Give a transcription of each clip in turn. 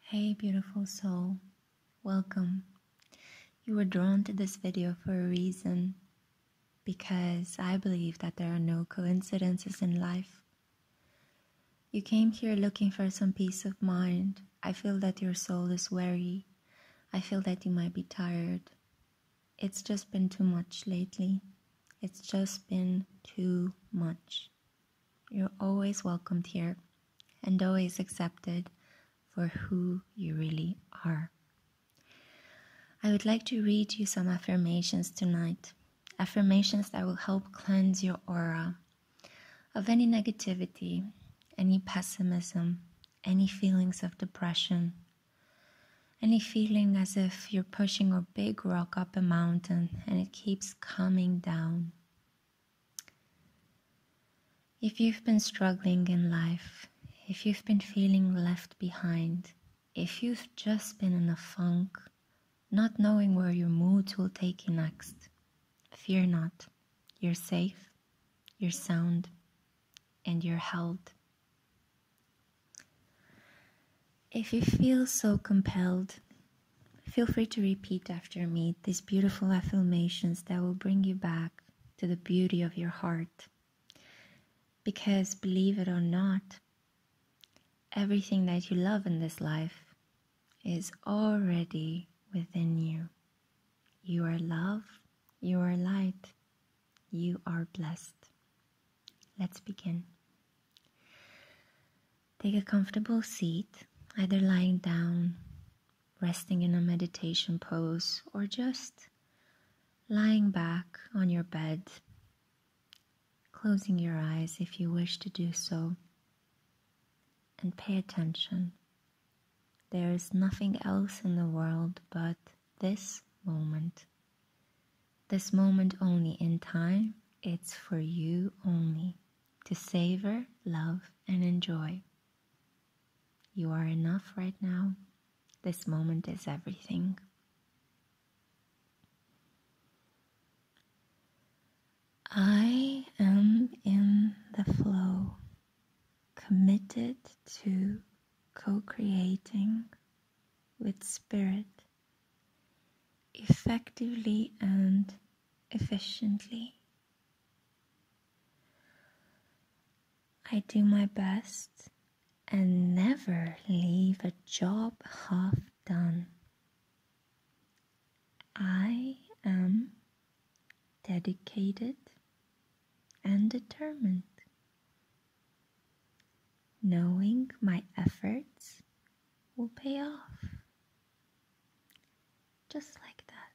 Hey beautiful soul, welcome. You were drawn to this video for a reason because I believe that there are no coincidences in life. You came here looking for some peace of mind. I feel that your soul is weary. I feel that you might be tired. It's just been too much lately. It's just been too much. You're always welcomed here and always accepted for who you really are. I would like to read you some affirmations tonight. Affirmations that will help cleanse your aura of any negativity, any pessimism, any feelings of depression, any feeling as if you're pushing a big rock up a mountain and it keeps coming down. If you've been struggling in life, if you've been feeling left behind, if you've just been in a funk, not knowing where your moods will take you next, fear not. You're safe, you're sound, and you're held. If you feel so compelled Feel free to repeat after me these beautiful affirmations that will bring you back to the beauty of your heart. Because believe it or not, everything that you love in this life is already within you. You are love, you are light, you are blessed. Let's begin. Take a comfortable seat, either lying down, resting in a meditation pose, or just lying back on your bed, closing your eyes if you wish to do so, and pay attention. There is nothing else in the world but this moment. This moment only in time, it's for you only to savor, love, and enjoy. You are enough right now. This moment is everything. I am in the flow, committed to co creating with spirit effectively and efficiently. I do my best and never leave a job half done. I am dedicated and determined. Knowing my efforts will pay off. Just like that.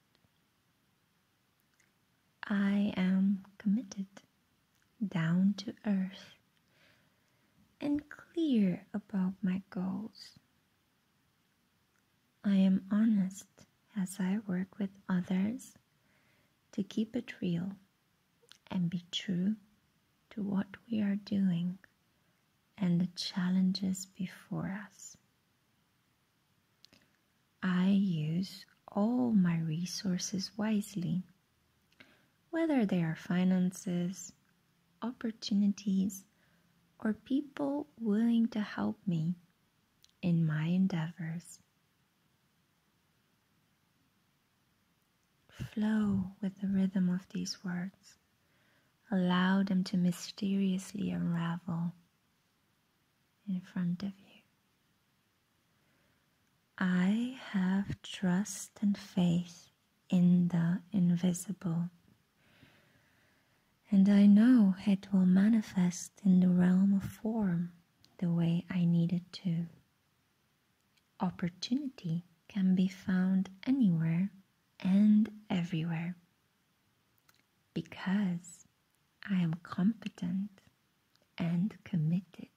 I am committed, down to earth, and clear about my goals. I am honest as I work with others to keep it real and be true to what we are doing and the challenges before us. I use all my resources wisely, whether they are finances, opportunities, or people willing to help me in my endeavors. Flow with the rhythm of these words. Allow them to mysteriously unravel in front of you. I have trust and faith in the invisible. And I know it will manifest in the realm of form the way I need it to. Opportunity can be found anywhere and everywhere because I am competent and committed.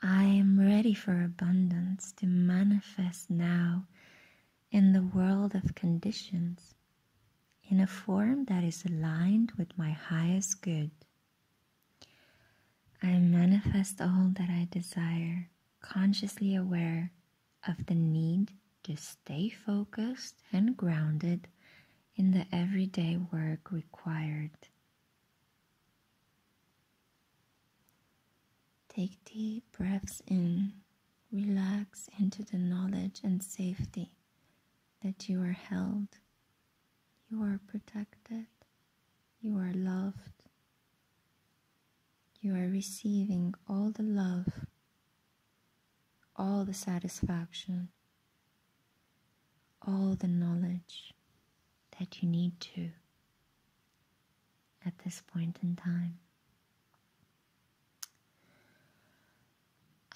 I am ready for abundance to manifest now in the world of conditions in a form that is aligned with my highest good. I manifest all that I desire, consciously aware of the need to stay focused and grounded in the everyday work required. Take deep breaths in, relax into the knowledge and safety that you are held, you are protected, you are loved, you are receiving all the love, all the satisfaction, all the knowledge that you need to at this point in time.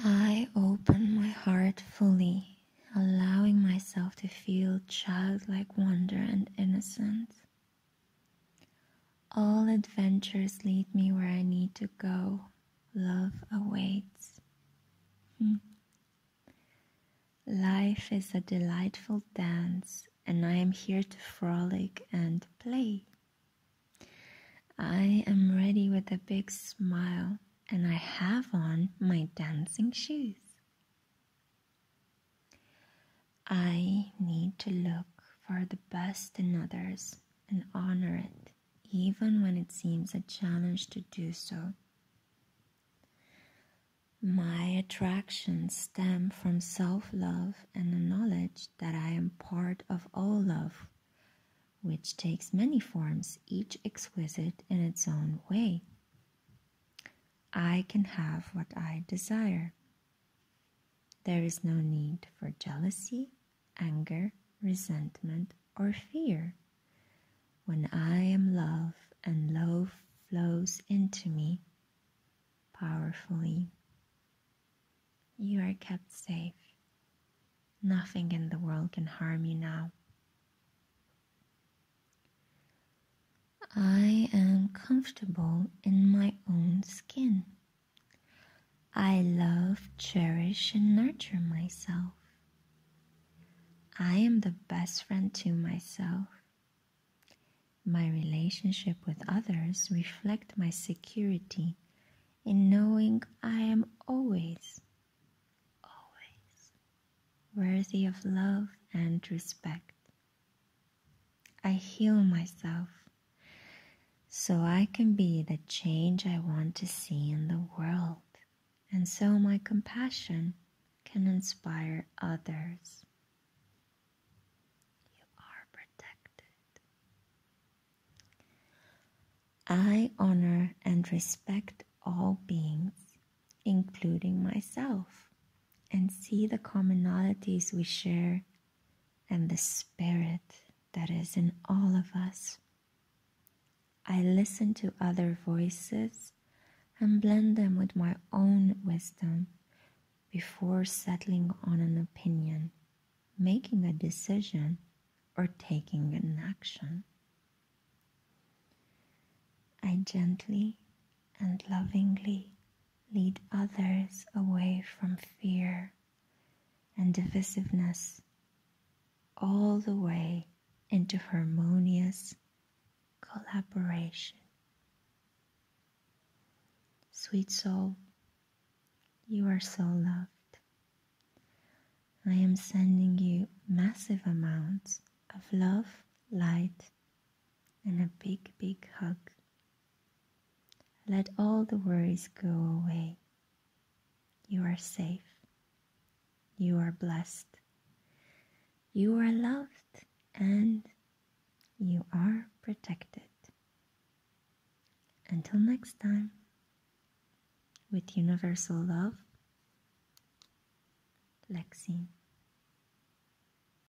I open my heart fully, allowing myself to feel childlike wonder and innocence all adventures lead me where I need to go. Love awaits. Hmm. Life is a delightful dance, and I am here to frolic and play. I am ready with a big smile, and I have on my dancing shoes. I need to look for the best in others and honor it, even when it seems a challenge to do so. My attractions stem from self love and the knowledge that I am part of all love, which takes many forms, each exquisite in its own way. I can have what I desire. There is no need for jealousy, anger, resentment, or fear. When I am love and love flows into me powerfully, you are kept safe. Nothing in the world can harm you now. I am comfortable in my own skin. I love, cherish, and nurture myself. I am the best friend to myself. My relationship with others reflect my security in knowing I am always, always worthy of love and respect. I heal myself so I can be the change I want to see in the world, and so my compassion can inspire others. You are protected. I honor and respect all beings, including myself, and see the commonalities we share and the spirit that is in all of us. I listen to other voices and blend them with my own wisdom before settling on an opinion, making a decision, or taking an action. I gently and lovingly lead others away from fear and divisiveness all the way into harmonious collaboration. Sweet soul, you are so loved. I am sending you massive amounts of love, light, and a big, big hug. Let all the worries go away. You are safe. You are blessed. You are loved and you are protected. Until next time, with universal love, Lexine.